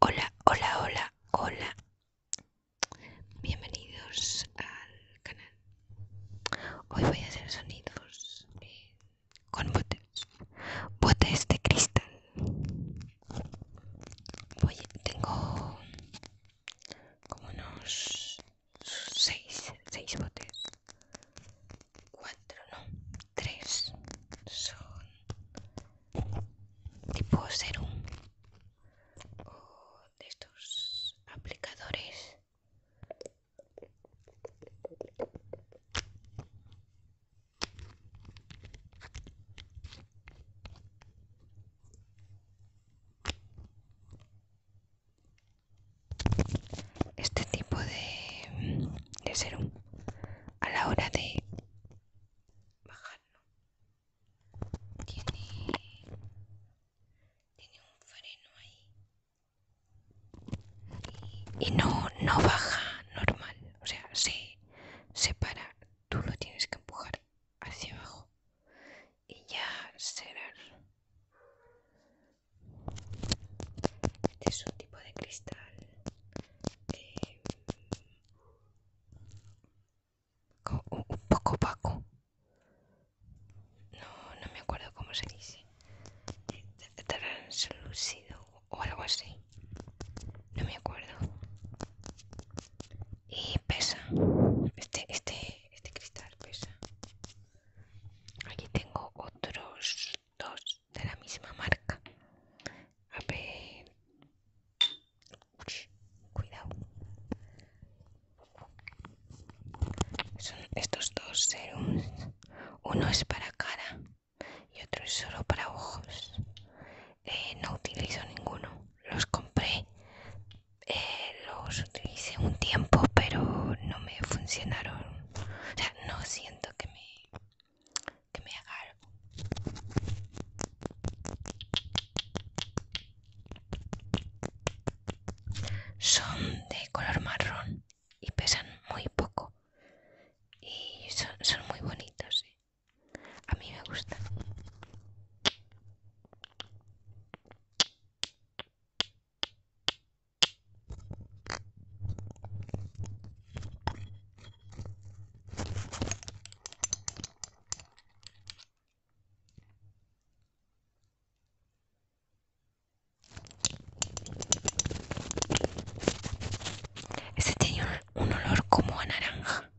Hola, hola, hola, hola. Bienvenidos al canal. Hoy voy a hacer sonidos eh, con botes. Botes de cristal. Hoy tengo como unos seis, seis botes. Cuatro, no, tres. Son tipo serum o de estos aplicadores este tipo de, de serum a la hora de bajarlo. Tiene, un freno ahí y, no, no baja normal, o sea, se, separa para. Tú lo tienes que empujar hacia abajo y ya será. Este es un tipo de cristal. Eh, un poco opaco. No, no me acuerdo cómo se dice. Translúcido o algo así. No me acuerdo. Y pesa. Este, este, este cristal pesa. Aquí tengo otros dos de la misma marca. A ver. cuidado. Son estos dos serums. Uno es para cara y otro es solo para ojos. Eh, no utilizo ninguno. Los compré. Eh, los utilicé un tiempo, pero no me funcionaron. O sea, no siento que me que me haga algo. Son de color marrón y pesan muy poco y son, muy bonitos. ¿eh? A mí me gustan. Ese tiene un, un olor como a naranja.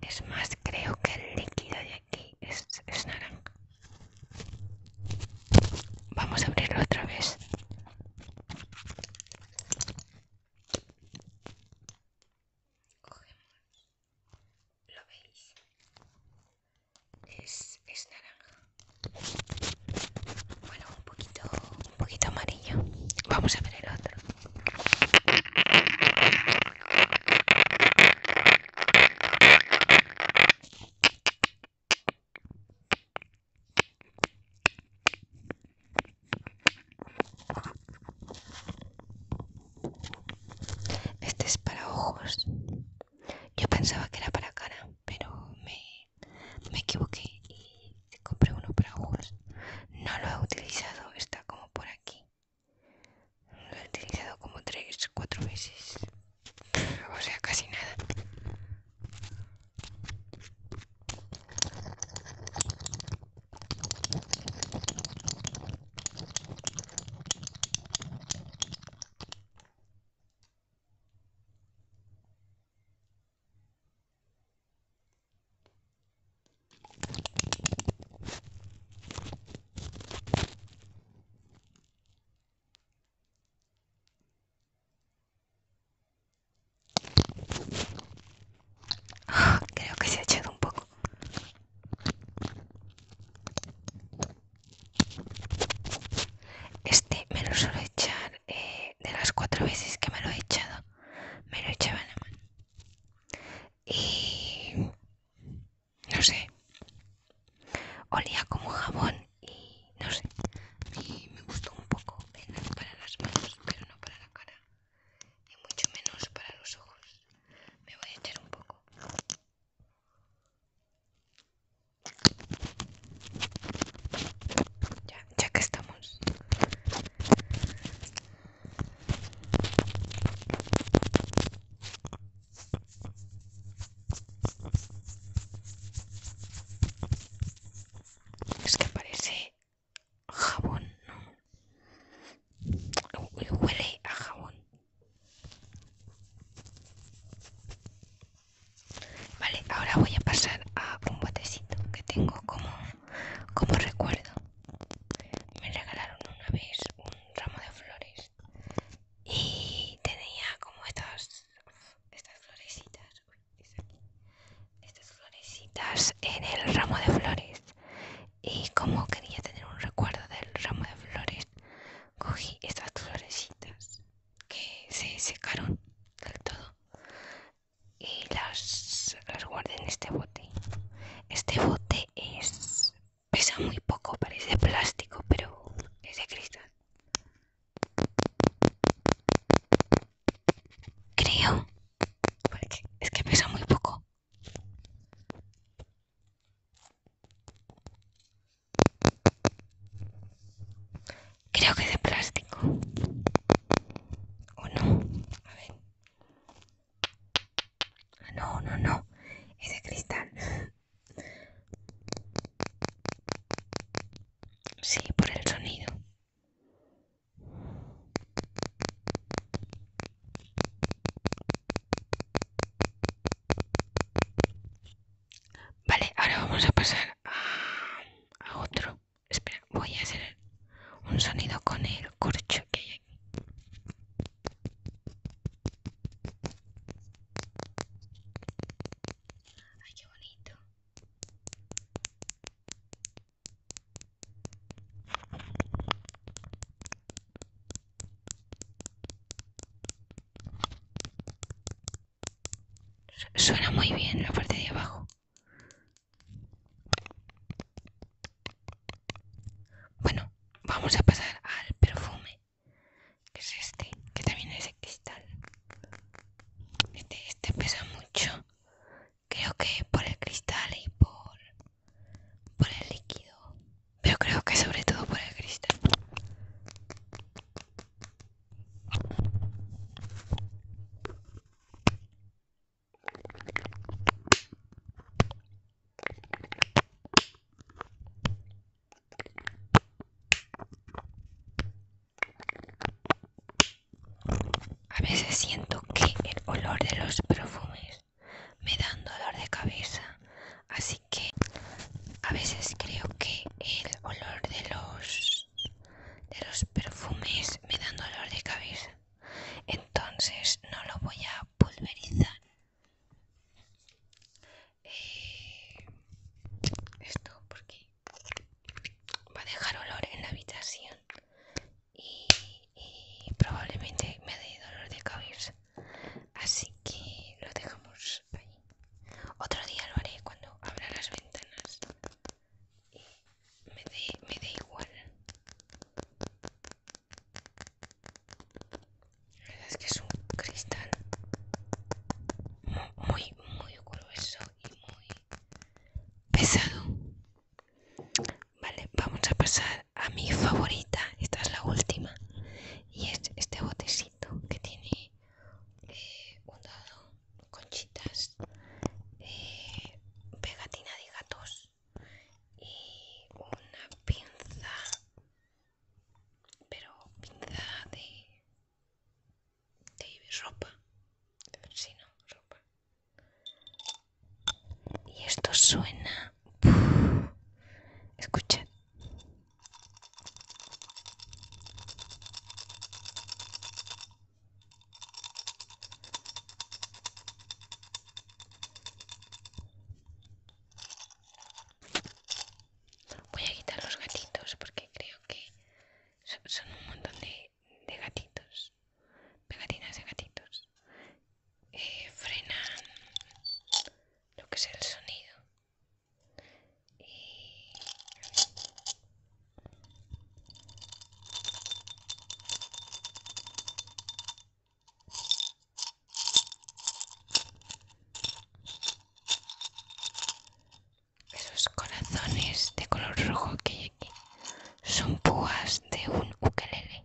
Es más, creo que el líquido de aquí es, naranja. Vamos a abrirlo otra vez. Cogemos. ¿Lo veis? Es, es naranja. Bueno, un poquito un poquito amarillo. Vamos a ver el otro. Este es para ojos. Yo pensaba que era para cara, pero me, me equivoqué y compré uno para ojos no lo he utilizado está como por aquí lo he utilizado como tres cuatro veces o sea casi nada Creo que se ha echado un poco. Este me lo suelo echar eh, de las cuatro veces que me lo he echado me lo echaba en la mano. Y no sé, olía como jabón y no sé, y me gustó un poco para las manos, pero no para la cara y mucho menos para los ojos. Me voy a echar un poco. Ya ya que estamos. Es que parece jabón, Huele a jabón. Vale, ahora voy a pasar a un botecito que tengo como, como recuerdo. Me regalaron una vez un ramo de flores y tenía como estas, estas florecitas. Estas florecitas en el ramo de flores. Y como quería tener un recuerdo del ramo de flores, cogí estas florecitas que se secaron del todo y las, las guardé en este bote. Este bote es pesa muy poco, parece plástico, pero es de cristal. Creo, porque es que pesa muy poco. Creo que es de plástico. ¿O no? A ver. Ah, no, no, no. Es de cristal. Sí, por el sonido. Vale, ahora vamos a pasar a otro. Espera, voy a hacer un sonido con el corcho que hay aquí. Ay, qué bonito. Suena muy bien la parte de abajo. Bueno, vamos a pasar al perfume, que es este, que también es el cristal. Este, este, pesa mucho, creo que por el cristal y por, por el líquido, pero creo que sobre todo por el cristal. A veces siento que el olor de los perfumes me da dolor de cabeza, así que a veces creo que el olor de los de los perfumes me dan dolor de cabeza. Entonces no lo voy a pulverizar. Eh, esto porque va a dejar olor en la habitación y, y probablemente me dé dolor de cabeza. Así que lo dejamos ahí. Otro día lo haré cuando abra las ventanas me da me igual la verdad es que es un cristal muy muy grueso y muy pesado vale vamos a pasar a mi favorita esta es la última y es este botecito que tiene eh, un dado, conchitas, eh, pegatina de gatos y una pinza, pero pinza de, de ropa, si ropa. Y esto suena. Escuchad. Voy a quitar los gatitos porque creo que son, un montón de, gatitos, pegatinas de gatitos. Eh, frenan lo que es el sonido esos eh, corazones de color rojo que hay aquí son púas de un ukelele.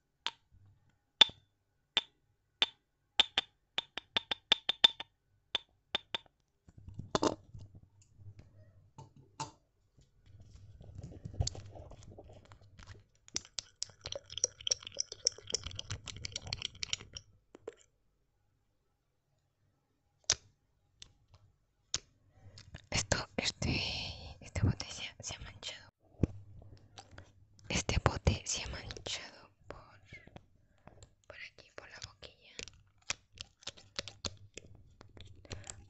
Esto, este, esta botella se ha manchado. Este bote se ha manchado por, por aquí, por la boquilla.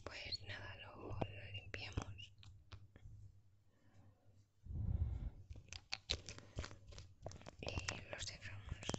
Pues nada, lo, limpiamos. Y lo cerramos.